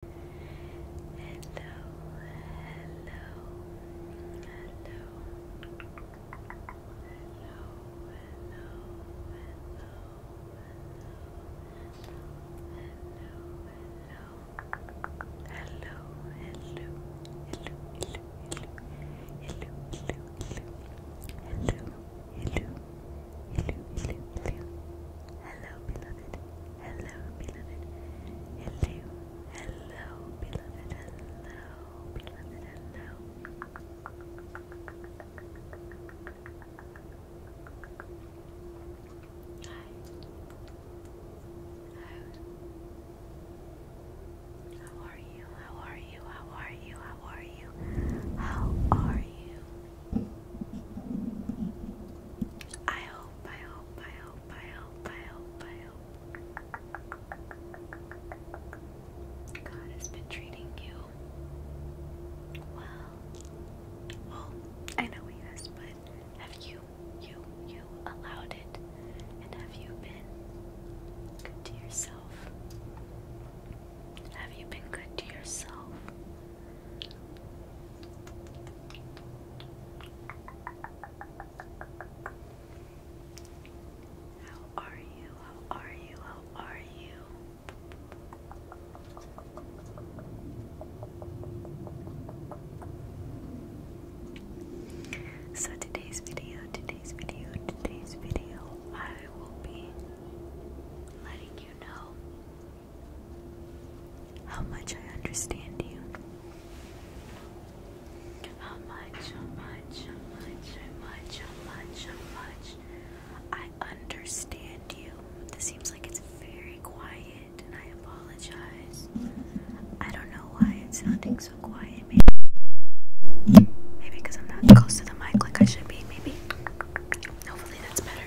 Hello, hello, hello, hello, hello, hello, hello, hello, hello, hello, hello, hello. Hello, hello, hello, hello, hello, hello, hello, hello, hello, hello, beloved. Hello, beloved. Hello, hello, beloved. Hello, beloved. Hello. Hi. How How are you? How are you? How are you? How are you? How are you? I hope, I hope, I hope, I hope, I hope, I hope. God has been treating you well. Well, I know he has, but have you, you, you allowed it? And have you been good to yourself? Have you been good to yourself? How are you? How are you? How are you? So today's video, today's video, today's video, I will be letting you know how much I understand you. How much, how much, how much, how much, how much, how much I understand you. This seems like it's very quiet, and I apologize. I don't know why it's sounding so quiet. Maybe because I'm not close to the mic like I should be. Maybe. Hopefully that's better.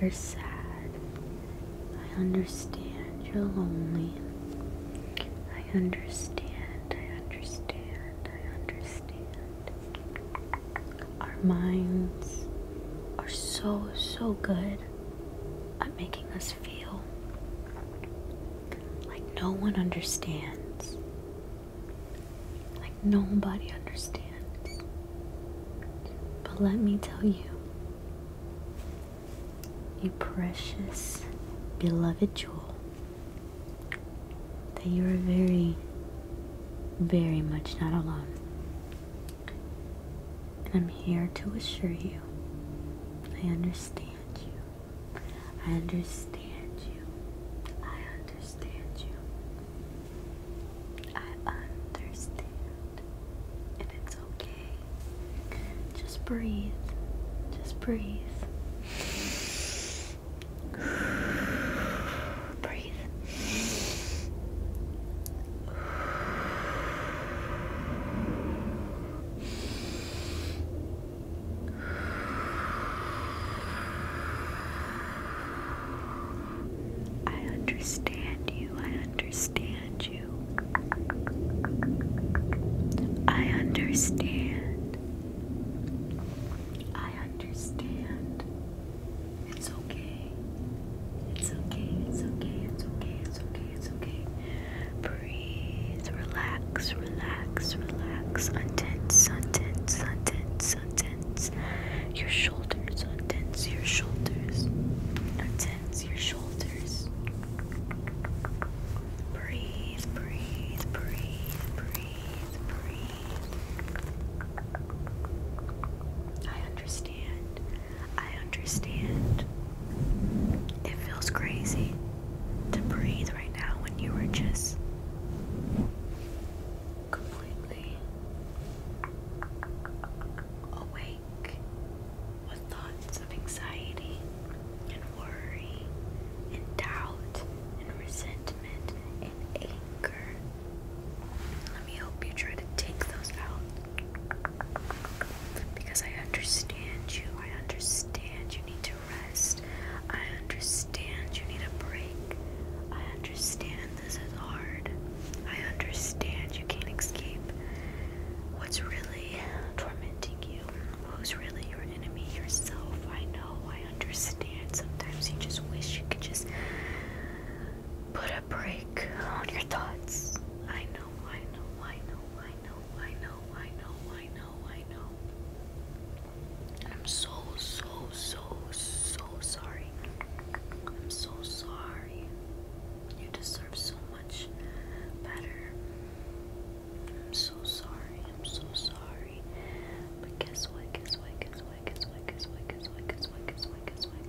you're sad. I understand you're lonely. I understand. I understand. I understand. Our minds are so, so good at making us feel like no one understands like nobody understands. But let me tell you, you precious, beloved jewel, that you are very, very much not alone. And I'm here to assure you, I understand you. I understand you. I understand you. I understand. And it's okay. Just breathe. Just breathe. breathe. Breathe. I understand you. I understand you. I understand. I understand. It's okay. It's okay. It's okay. It's okay. It's okay. It's okay. Breathe. Relax. Relax. Relax. Untense. Untense. Untense untense your shoulders, untense your shoulders, untense your shoulders. Breathe, breathe, breathe, breathe, breathe. I understand. I understand. It feels crazy to breathe right now when you were just completely awake with thoughts of anxiety and worry and doubt and resentment and anger. Let me help you try to take those out because I understand you. I understand you need to rest rest. I understand you need a break. I understand this is hard. I understand you can't escape what's really tormenting you, who's really your enemy, yourself. I know, I understand. Sometimes you just wish you could just put a break on your thoughts. I know, I know, I know, I know, I know, I know, I know, I know. I'm so, so, so, so sorry. I'm so sorry. You deserve so much better. I'm so sorry. I'm so sorry. But guess what? Guess what? Guess what? Guess what? Guess what? Guess what? Guess what? Guess what? Guess what? Guess what?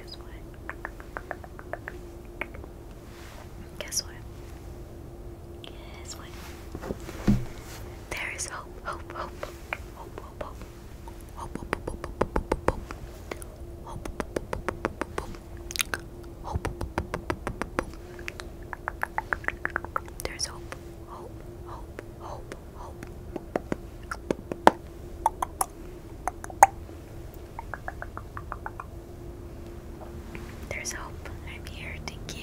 Guess what? Guess what? There is hope, hope, hope there's hope, hope, hope, hope, hope. There's hope. I'm here. Thank you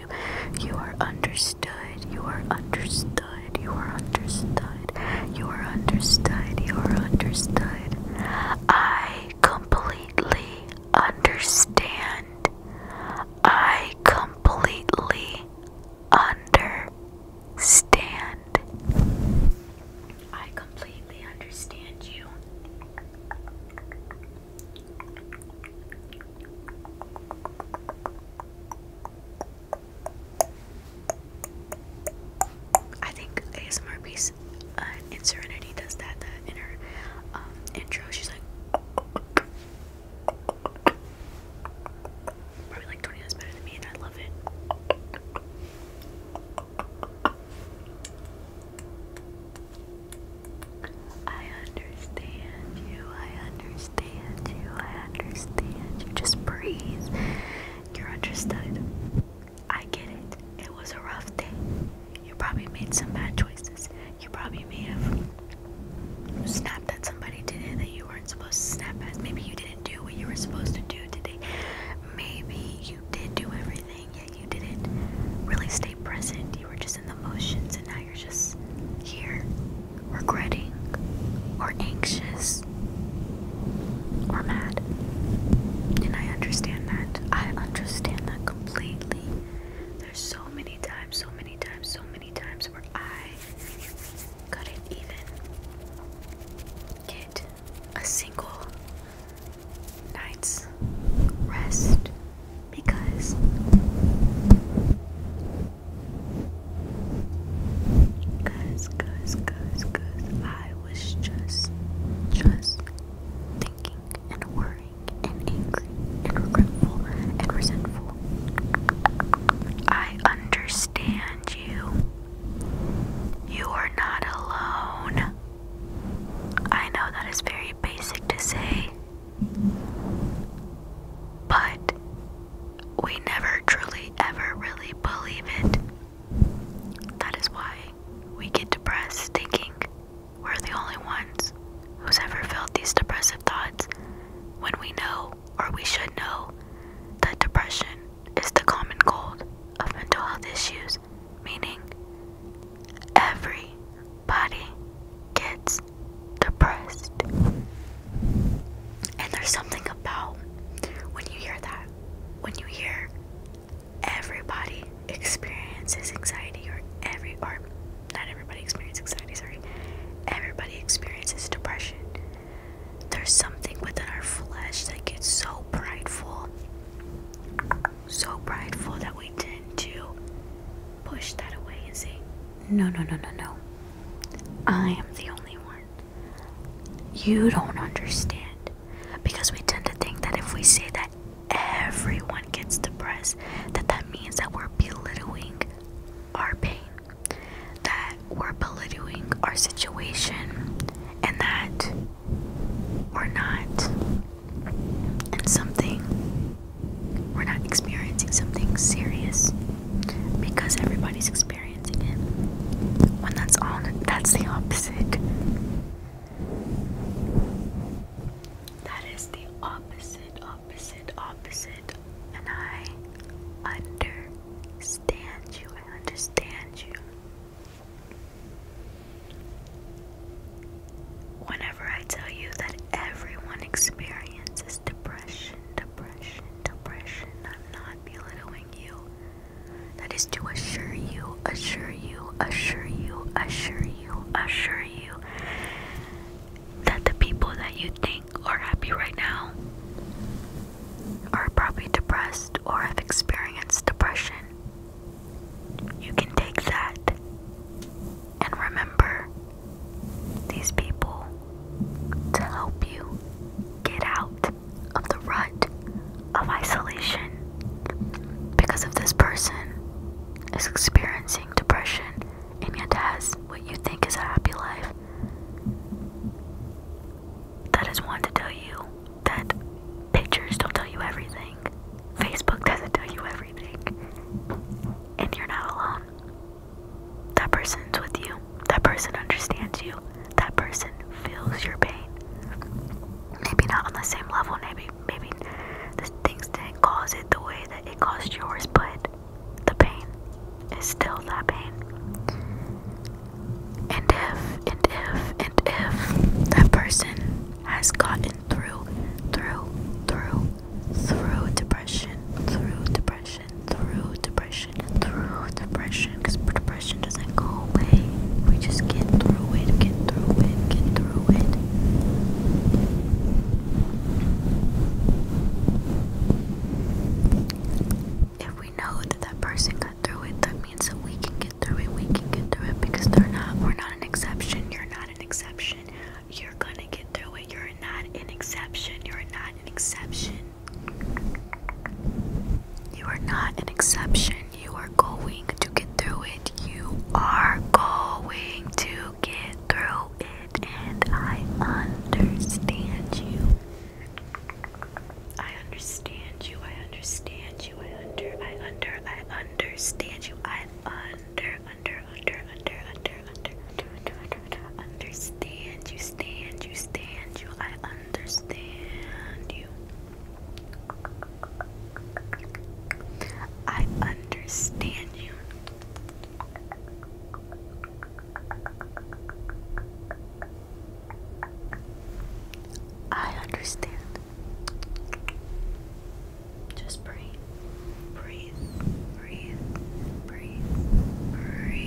you. are understood. You are understood. You are understood. You are understood. You are understood. I completely understand. I completely understand. I completely understand you. I think ASMR piece uh, in Serenity does that. The inner um, intro, she's like probably like twenty minutes better than me, and I love it. I understand you, I understand you, I understand you. Just breathe. You're understood. I get it. It was a rough day. You probably made some bad choices. You probably may have snapped at somebody today that you weren't supposed to snap at. Maybe you didn't do what you were supposed to do today. Maybe you did do everything, yet you didn't really stay present. You were just lives and the motions, and now you're just here regretting or anxious or mad. And I understand that. I understand that completely. There's so many times, so many times, so many times where I couldn't even get a single night's rest because because because because I was just just thinking and worrying and angry and regretful and resentful. I understand you. You are not alone. I know that is very basic to say, but we never truly ever really believe it. That is why we get depressed thinking we're the only ones who's ever felt these depressive thoughts when we know or we should know that depression is the common cold of mental health issues, meaning every body gets depressed. And there's something about when you hear that, when you hear everybody experiences anxiety, or every, or not everybody experiences anxiety, sorry, everybody experiences depression. There's something within our flesh that gets so prideful so prideful that we tend to push that away and say, No, no, no, no, no. I am the only one. You don't understand. Because we tend to think that if we say that everyone gets depressed, that that means that we're belittling our pain, that we're belittling our situation, and that we're not and something we're not experiencing something serious because everybody's experiencing it when that's all that's the opposite that is the opposite opposite opposite and i understand you i understand you Whenever I tell you that everyone experiences depression, depression, depression, I'm not belittling you. That is to assure you, assure you, assure you, assure you, assure you that the people that you think are happy right now are probably depressed or have experienced depression. You can take that and remember these people to help you get out of the rut of isolation because if this person is experiencing depression and yet has what you think is a happy life. That is one to tell you that pictures don't tell you everything, Facebook doesn't tell you everything, and you're not alone. That person's with you, that person understands you, that person feels your pain. Maybe not on the same level, maybe, maybe the things didn't cause it the way that it caused yours, but the pain is still that pain. And if, and if, and if that person has gotten through, through, through, through depression, through depression, through depression, through depression, because depression doesn't go away. We just get through it, get through it, get through it. If we know that that person got through it, that means that we can get through it, we can get through it because they're not, we're not an exception. You're not an exception. You're gonna get through it. You're not an exception. You're not an exception. You are not an exception. You are going to get through it. You are going to get through it. And I understand you. I understand you. I understand you you. I under, I under, I understand you. I under, under, under, under, under, under, under, under, under, understand you. Stand you, stand you. I understand you. I understand you. I understand. Just breathe, breathe, breathe, breathe, breathe.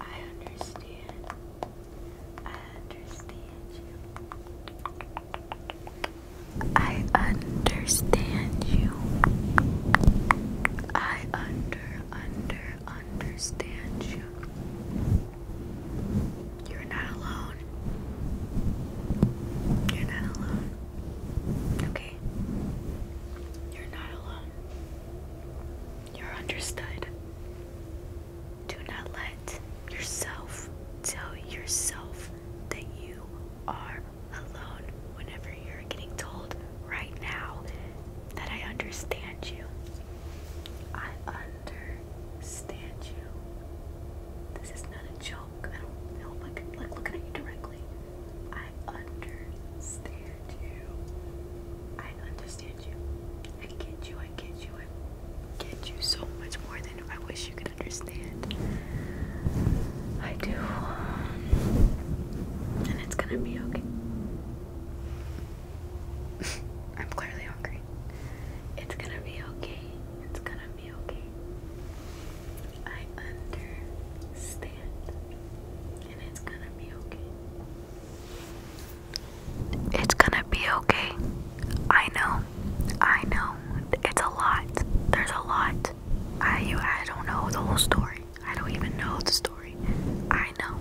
I understand. I understand you. I understand you. I under, under, understand you. You're not alone. You're not alone. Okay? You're not alone. You're understood. Do not let yourself tell yourself that you are alone whenever you're getting told right now that I understand you. I understand you. This is not a joke. I don't know. Like, like looking at you directly. I understand you. I understand you. I get you. I get you. I get you so much more than I wish you could understand. I do. And it's gonna be okay. I'm clearly hungry. It's gonna be okay. It's gonna be okay. I understand it's gonna be okay. It's gonna be okay. I know. I know. It's a lot. There's a lot. I I don't know the whole story. I don't even know the story. I know.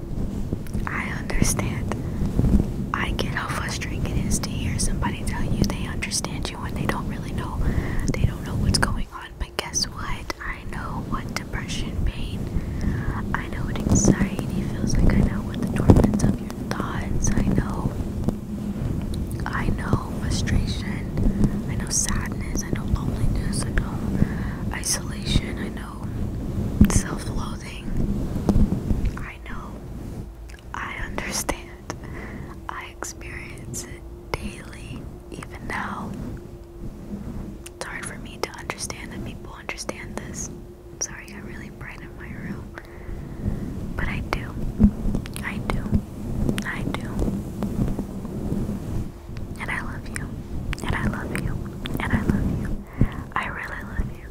I understand. I get how frustrating it is to hear somebody tell you they understand you when they don't really know. They don't know what's going but guess what? I know what depression, pain, I know what anxiety feels like, I know what the torments of your thoughts, I know, I know frustration, I know sadness, I know loneliness, I know isolation, I know self loathing, I know, I understand, I experience it daily even now. It's hard for me to understand that people understand this. Sorry, I got really bright in my room. But I do. I do. I do. And I love you. And I love you. And I love you. I really love you.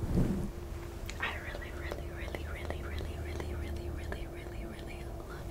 I really, really, really, really, really, really, really, really, really, really love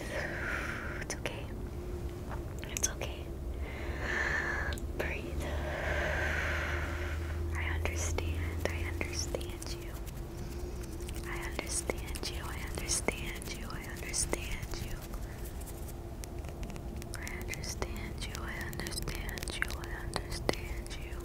breathe. It's okay. It's okay. Breathe. I understand. I understand you. I understand you. I understand you. I understand you. I understand you. I understand you. I understand you. I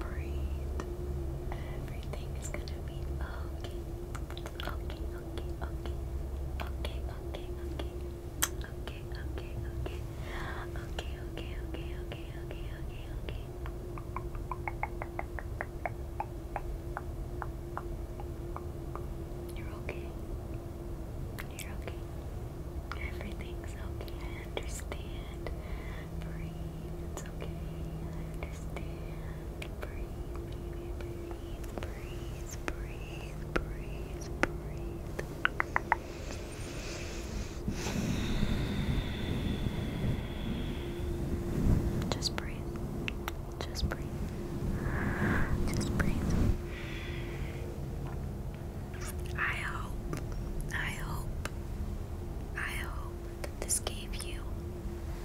Breathe. Everything is gonna be okay. Okay, okay, okay. Okay, okay, okay. Okay, okay, okay. Okay, okay, okay, okay, okay, okay, okay. You're okay you're okay. Everything's okay. I understand. Breathe. It's okay. I understand. Breathe, baby. Breathe. Breathe. Breathe. Breathe. Breathe. Just breathe. Just breathe. Just breathe. I hope, I hope, I hope that this gave you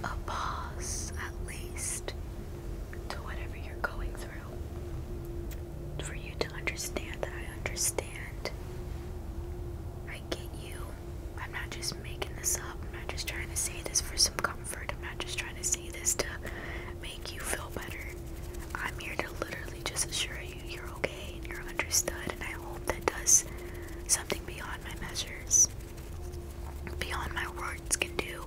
a pause at least to whatever you're going through. For you to understand that I understand. I get you. I'm not just making this up. I'm not just trying to say this for some comfort. I'm not just trying to say this to make you feel better. I'm here to literally just assure you you're okay and you're understood, and I hope that does something beyond my measures, beyond my words can do.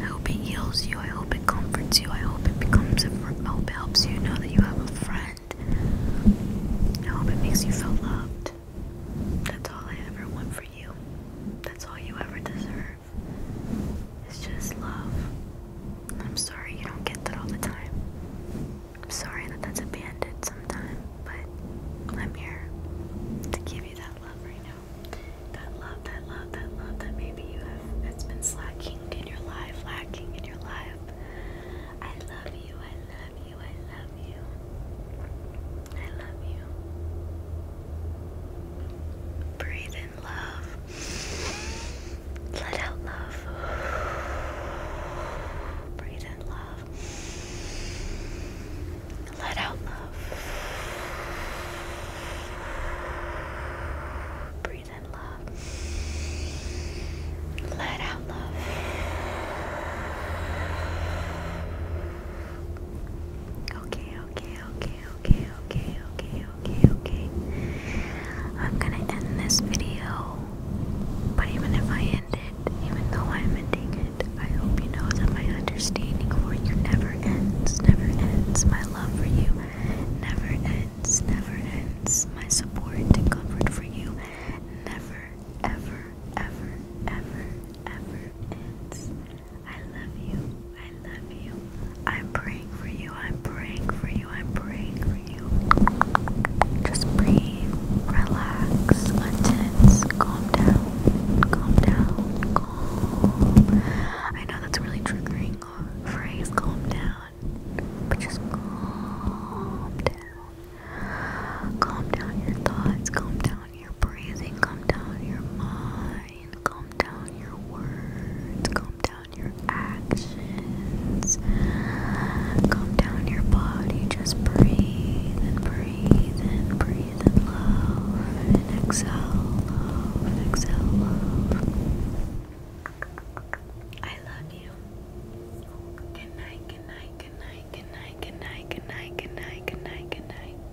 I hope it heals you. I hope it comforts you. I hope it becomes a friend. I hope it helps you know that you have a friend. I hope it makes you feel loved. That's all I ever want for you. That's all you ever deserve. It's just love. I'm sorry you don't get that all the time. I'm sorry that that's abandoned sometimes, but I'm here to give you that love right now. That love, that love, that love that maybe you have it has been slacking in your life, lacking in your life. I love you, I love you, I love you. I love you. Breathe in love. Let out love. Breathe in love. Let out love. Breathe in love. Let out love. Okay, okay, okay, okay, okay, okay, okay, okay. I'm gonna end this video, but even if I end it, even though I'm ending it, I hope you know that my understanding for you never ends, never ends. My love for you never ends, never ends. My support and comfort for you never, ever, ever, ever, ever ends. I love you. I love you. I'm praying for you. I'm praying for you. I'm praying for you. Just breathe, relax, untense, calm down, calm down, calm. I know that's really triggering phrase, calm down, but just calm down. Calm down your thoughts, calm down your breathing, calm down your mind calm down your words, calm down your actions, calm down your body. Just breathe and breathe and breathe and love and exhale, love, exhale, love. I love you. Good night, good night, good night, good night, good night, good night, good night, good night, good night.